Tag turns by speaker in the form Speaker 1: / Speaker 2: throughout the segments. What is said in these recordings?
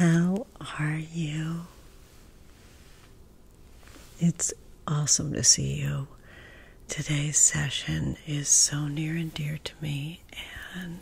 Speaker 1: Hello, how are you? It's awesome to see you. Today's session is so near and dear to me, and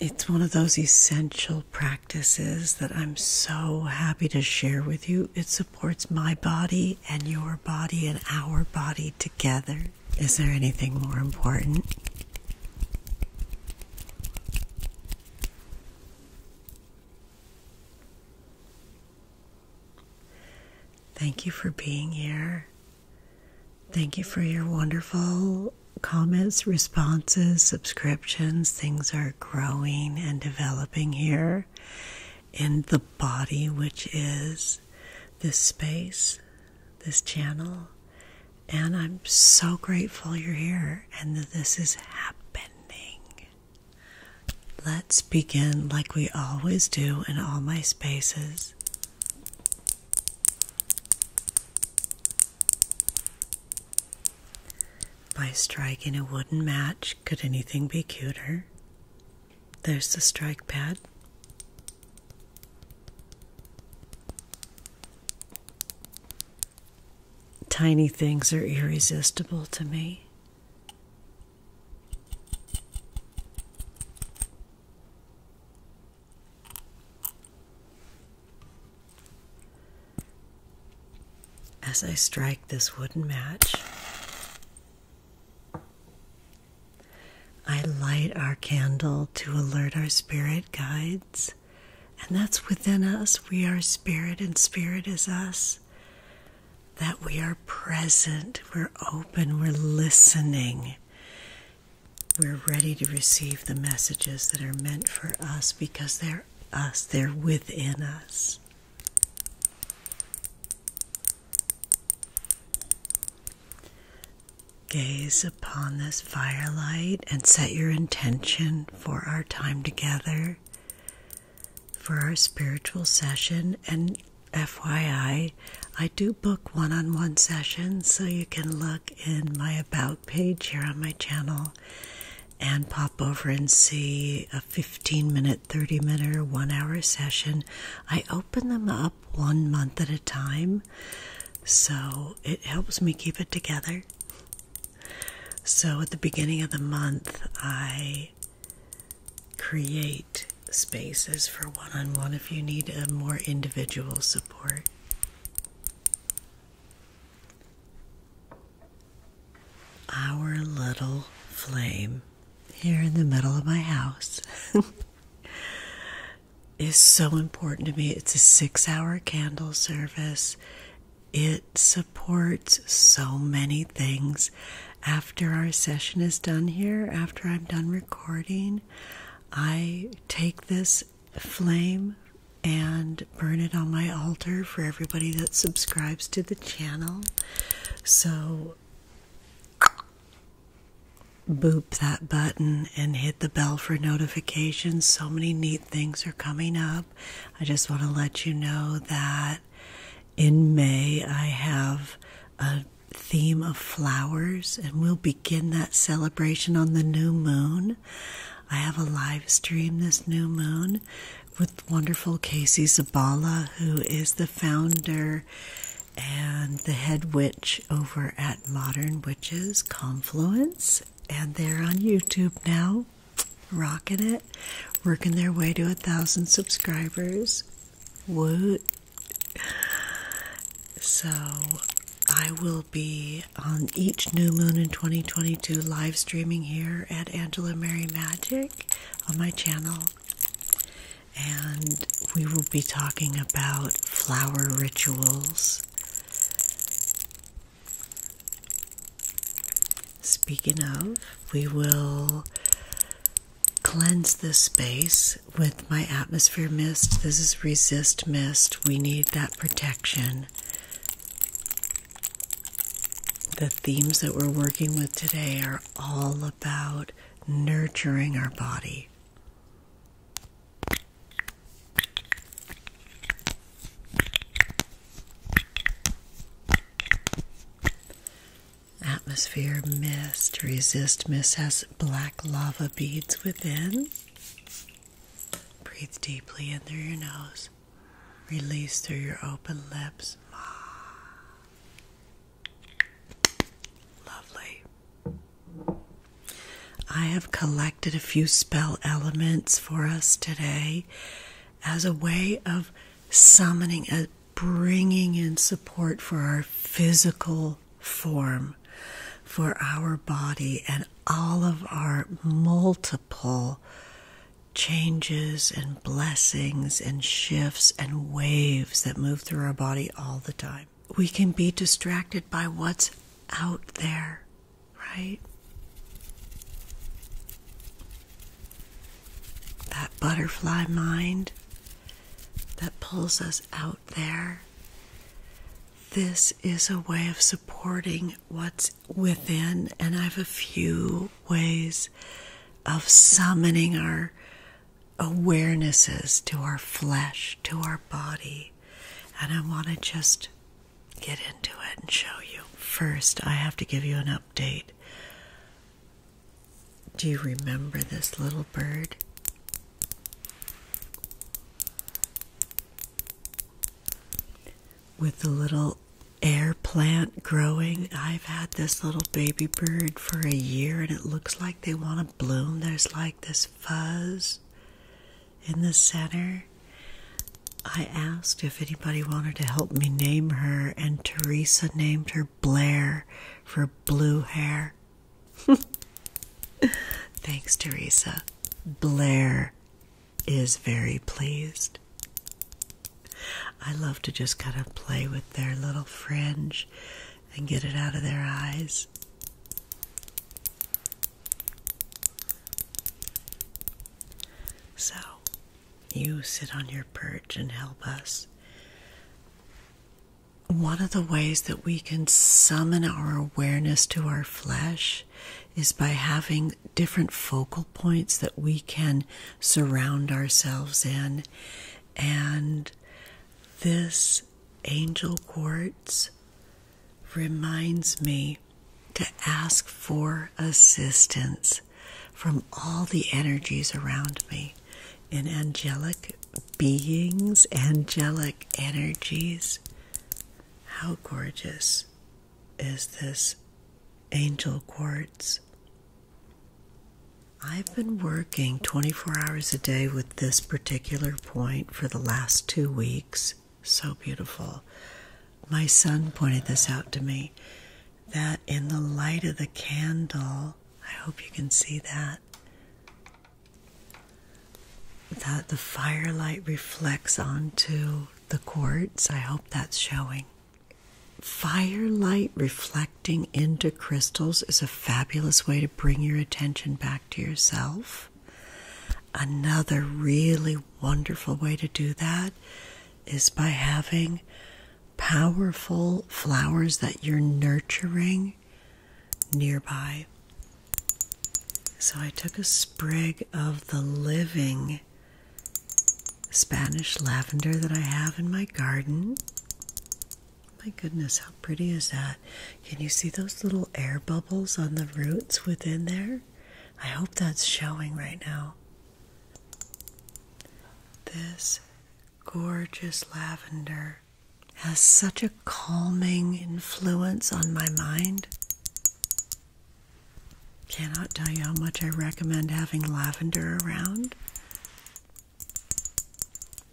Speaker 1: it's one of those essential practices that I'm so happy to share with you. It supports my body and your body and our body together. Is there anything more important? Thank you for being here. Thank you for your wonderful comments, responses, subscriptions. Things are growing and developing here in the body, which is this space, this channel. And I'm so grateful you're here and that this is happening. Let's begin like we always do in all my spaces. By striking a wooden match, could anything be cuter? There's the strike pad. Tiny things are irresistible to me. As I strike this wooden match, I light our candle to alert our spirit guides, and that's within us. We are spirit, and spirit is us. That we are present, we're open, we're listening we're ready to receive the messages that are meant for us because they're us, they're within us. Gaze upon this firelight and set your intention for our time together, for our spiritual session. And FYI, I do book one-on-one sessions, so you can look in my about page here on my channel and pop over and see a 15 minute, 30 minute, one hour session. I open them up one month at a time, so it helps me keep it together. So at the beginning of the month, I create spaces for one on one if you need a more individual support our little flame here in the middle of my house is so important to me. It's a six hour candle service, it supports so many things. After our session is done here, after I'm done recording, I take this flame and burn it on my altar for everybody that subscribes to the channel. So, boop that button and hit the bell for notifications. So many neat things are coming up. I just want to let you know that in May I have a theme of flowers, and we'll begin that celebration on the new moon. I have a live stream this new moon with wonderful Casey Zabala, who is the founder and the head witch over at Modern Witches Confluence, and they're on YouTube now, rocking it, working their way to a thousand subscribers. Woot! so I will be on each new moon in 2022 live streaming here at Angela Mary Magic on my channel. And we will be talking about flower rituals. Speaking of, we will cleanse this space with my atmosphere mist. This is resist mist. We need that protection. The themes that we're working with today are all about nurturing our body. Atmosphere mist. Resist mist has black lava beads within. Breathe deeply in through your nose. Release through your open lips. Lovely. I have collected a few spell elements for us today as a way of summoning a bringing in support for our physical form, for our body, and all of our multiple changes and blessings and shifts and waves that move through our body all the time. We can be distracted by what's out there, right? That butterfly mind that pulls us out there. This is a way of supporting what's within, and I have a few ways of summoning our awarenesses to our flesh, to our body. And I want to just get into it and show you. First, I have to give you an update do you remember this little bird? With the little air plant growing, I've had this little baby bird for a year and it looks like they want to bloom. There's like this fuzz in the center. I asked if anybody wanted to help me name her, and Teresa named her Blair for blue hair. Thanks, Teresa. Blair is very pleased. I love to just kind of play with their little fringe and get it out of their eyes. So, you sit on your perch and help us one of the ways that we can summon our awareness to our flesh is by having different focal points that we can surround ourselves in. And this angel quartz reminds me to ask for assistance from all the energies around me. In angelic beings, angelic energies. How gorgeous is this angel quartz? I've been working 24 hours a day with this particular point for the last two weeks. So beautiful. My son pointed this out to me that in the light of the candle, I hope you can see that, that the firelight reflects onto the quartz. I hope that's showing. Firelight reflecting into crystals is a fabulous way to bring your attention back to yourself. Another really wonderful way to do that is by having powerful flowers that you're nurturing nearby. So I took a sprig of the living Spanish lavender that I have in my garden. My goodness, how pretty is that? Can you see those little air bubbles on the roots within there? I hope that's showing right now. This gorgeous lavender has such a calming influence on my mind. Cannot tell you how much I recommend having lavender around.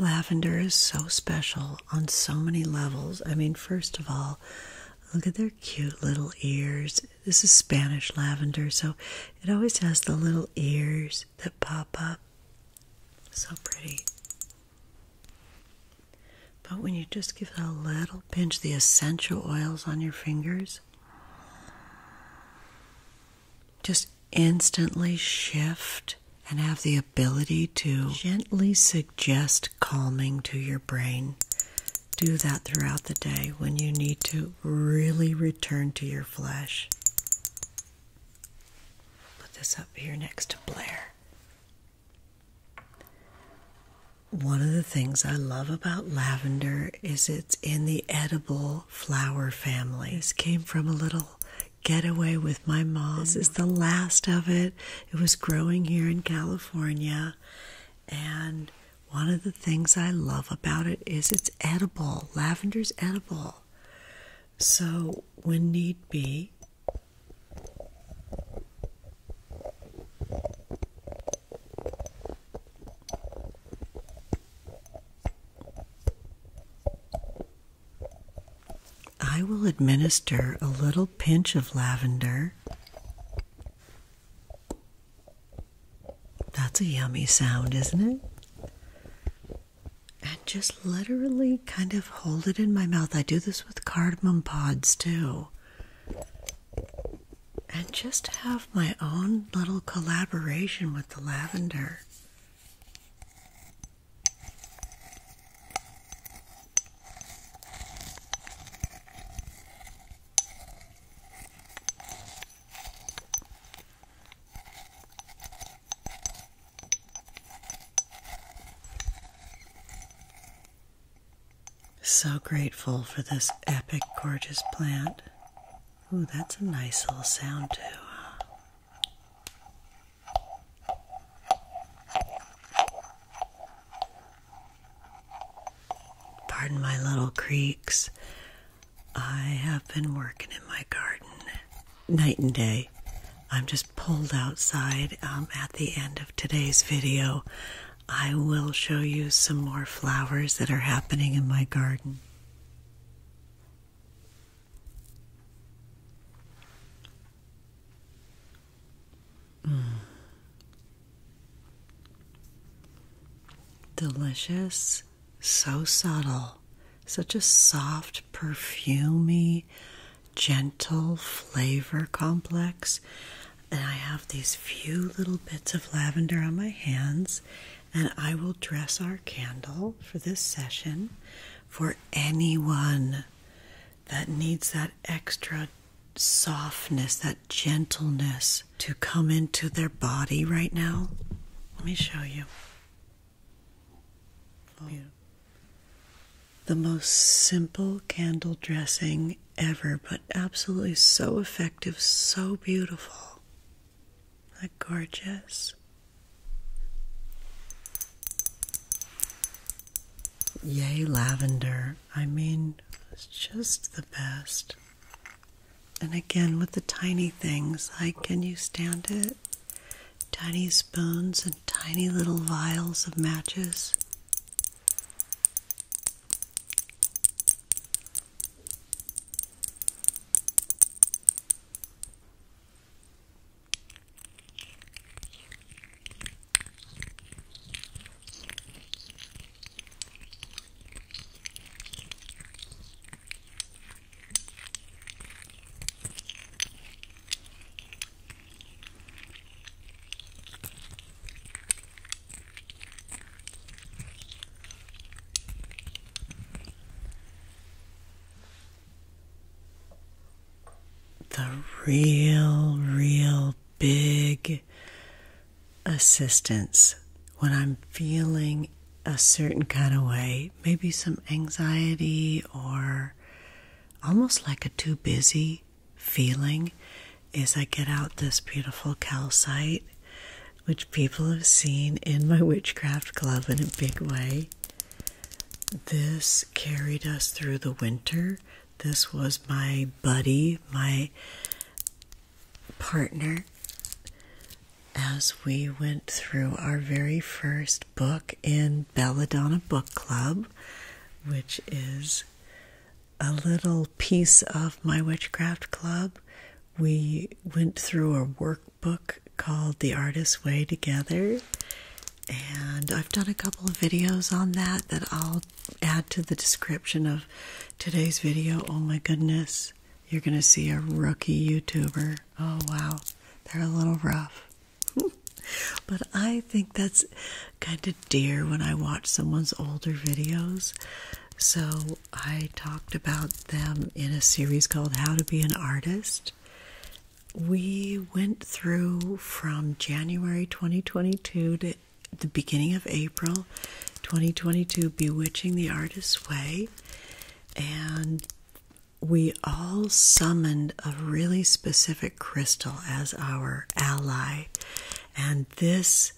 Speaker 1: Lavender is so special on so many levels. I mean, first of all, look at their cute little ears. This is Spanish lavender, so it always has the little ears that pop up. So pretty. But when you just give a little pinch, the essential oils on your fingers just instantly shift and have the ability to gently suggest calming to your brain. Do that throughout the day when you need to really return to your Flash. Put this up here next to Blair. One of the things I love about lavender is it's in the edible flower family. This came from a little getaway with my mom. This is the last of it. It was growing here in California and one of the things I love about it is it's edible. Lavender's edible. So, when need be, I will administer a little pinch of lavender that's a yummy sound, isn't it? And just literally kind of hold it in my mouth. I do this with cardamom pods too. And just have my own little collaboration with the lavender. So grateful for this epic, gorgeous plant. Ooh, that's a nice little sound, too. Pardon my little creaks. I have been working in my garden night and day. I'm just pulled outside um, at the end of today's video. I will show you some more flowers that are happening in my garden. Mm. Delicious so subtle, such a soft, perfumy, gentle flavor complex. And I have these few little bits of lavender on my hands, and I will dress our candle for this session for anyone that needs that extra softness, that gentleness to come into their body right now. Let me show you. The most simple candle dressing ever, but absolutely so effective, so beautiful. is that gorgeous. Yay, lavender. I mean, it's just the best. And again, with the tiny things like can you stand it? Tiny spoons and tiny little vials of matches. The real, real big assistance when I'm feeling a certain kind of way, maybe some anxiety or almost like a too busy feeling, is I get out this beautiful calcite, which people have seen in my witchcraft club in a big way. This carried us through the winter. This was my buddy, my partner as we went through our very first book in Belladonna Book Club, which is a little piece of my witchcraft club. We went through a workbook called The Artist's Way Together, and I've done a couple of videos on that that I'll add to the description of today's video. Oh my goodness, you're going to see a rookie YouTuber. Oh wow, they're a little rough. but I think that's kind of dear when I watch someone's older videos. So I talked about them in a series called How to Be an Artist. We went through from January 2022 to the, beginning of April 2022, Bewitching the Artist's Way. And we all summoned a really specific crystal as our ally. And this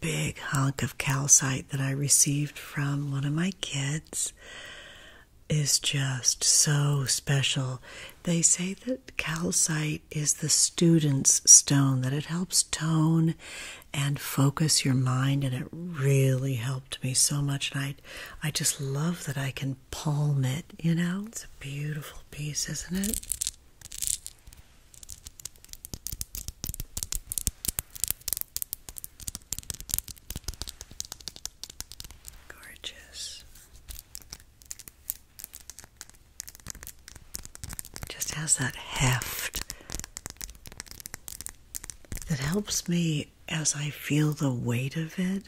Speaker 1: big hunk of calcite that I received from one of my kids is just so special. They say that calcite is the student's stone, that it helps tone and focus your mind, and it really helped me so much. And I, I just love that I can palm it, you know? It's a beautiful piece, isn't it? Gorgeous. Just has that heft that helps me as I feel the weight of it.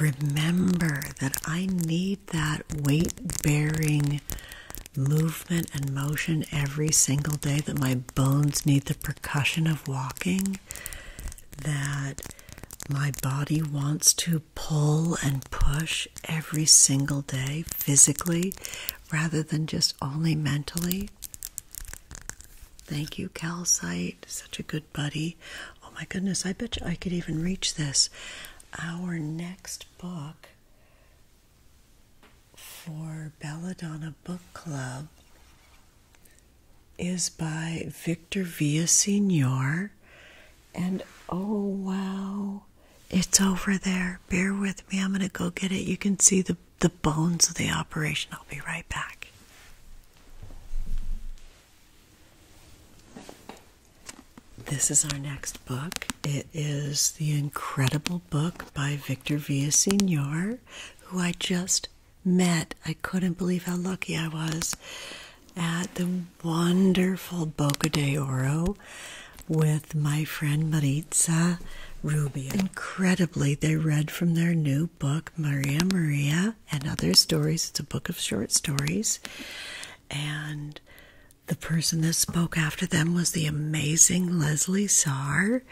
Speaker 1: Remember that I need that weight bearing movement and motion every single day, that my bones need the percussion of walking, that my body wants to pull and push every single day physically rather than just only mentally. Thank you, Calcite. Such a good buddy. Oh my goodness, I bet you I could even reach this. Our next book for Belladonna Book Club is by Victor Villa Senior, and oh wow, it's over there. Bear with me. I'm going to go get it. You can see the the bones of the operation. I'll be right back. This is our next book. It is the incredible book by Victor Villaseñor, who I just met. I couldn't believe how lucky I was at the wonderful Boca de Oro with my friend Maritza Rubio. Incredibly, they read from their new book, Maria Maria and Other Stories. It's a book of short stories. And the person that spoke after them was the amazing Leslie Saar,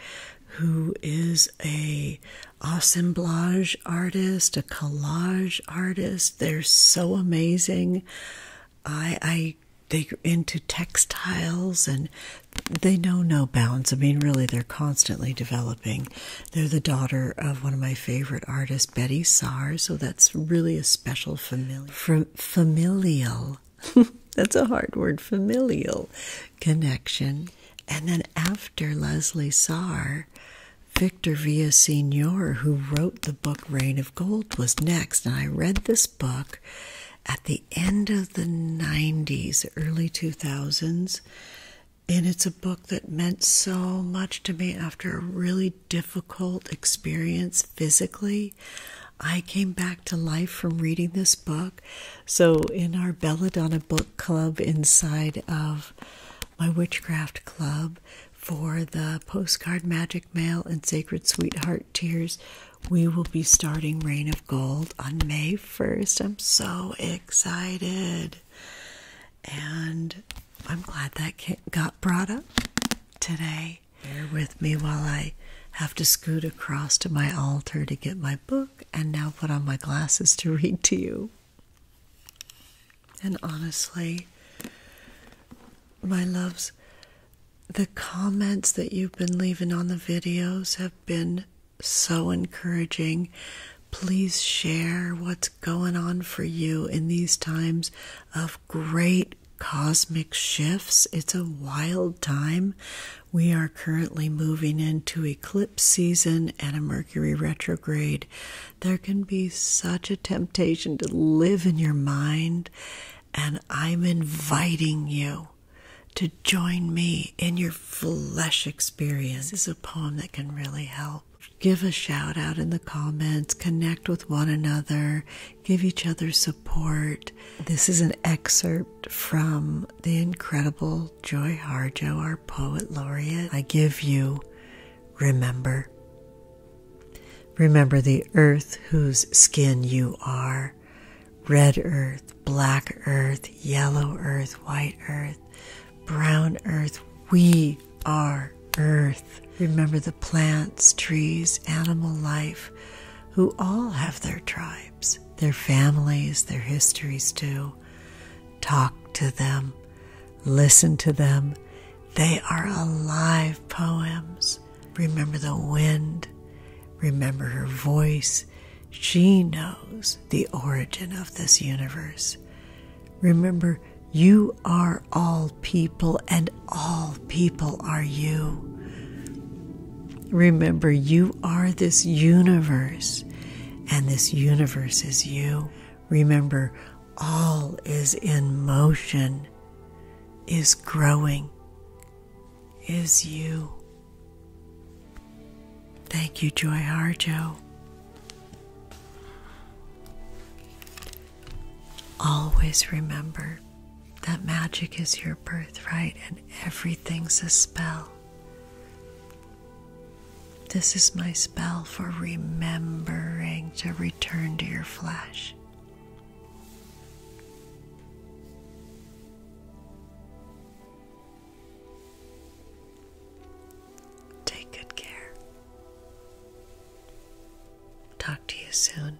Speaker 1: who is a assemblage artist, a collage artist. They're so amazing knitting. I, I they into textiles and they know no bounds. I mean, really, they're constantly developing. They're the daughter of one of my favorite artists, Betty Sars. So that's really a special familiar familial. that's a hard word, familial connection. And then after Leslie Saar, Victor Villa Senior, who wrote the book Rain of Gold, was next. And I read this book at the end of the 90s, early 2000s. And it's a book that meant so much to me after a really difficult experience physically. I came back to life from reading this book. So, in our Belladonna book club inside of my witchcraft club, for the postcard magic mail and sacred sweetheart tears we will be starting rain of gold on may 1st i'm so excited and i'm glad that got brought up today bear with me while i have to scoot across to my altar to get my book and now put on my glasses to read to you and honestly, my loves, the comments that you've been leaving on the videos have been so encouraging. Please share what's going on for you in these times of great cosmic shifts. It's a wild time. We are currently moving into eclipse season and a Mercury retrograde. There can be such a temptation to live in your mind, and I'm inviting you to join me in your flesh experience. This is a poem that can really help. Give a shout out in the comments, connect with one another, give each other support. This is an excerpt from the incredible Joy Harjo, poet laureate, I give you remember. Remember the earth whose skin you are red earth, black earth, yellow earth, white earth, brown earth. We are earth. Remember the plants, trees, animal life, who all have their tribes, their families, their histories too. Talk to them. Listen to them. They are alive poems. Remember the wind. Remember her voice. She knows the origin of this universe. Remember, you are all people, and all people are you. Remember, you are this universe, and this universe is you. Remember, all is in motion, is growing, is you. Thank you, Joy Harjo. Always remember that magic is your birthright and everything's a spell. This is my spell for remembering to return to your flesh. Take good care. Talk to you soon.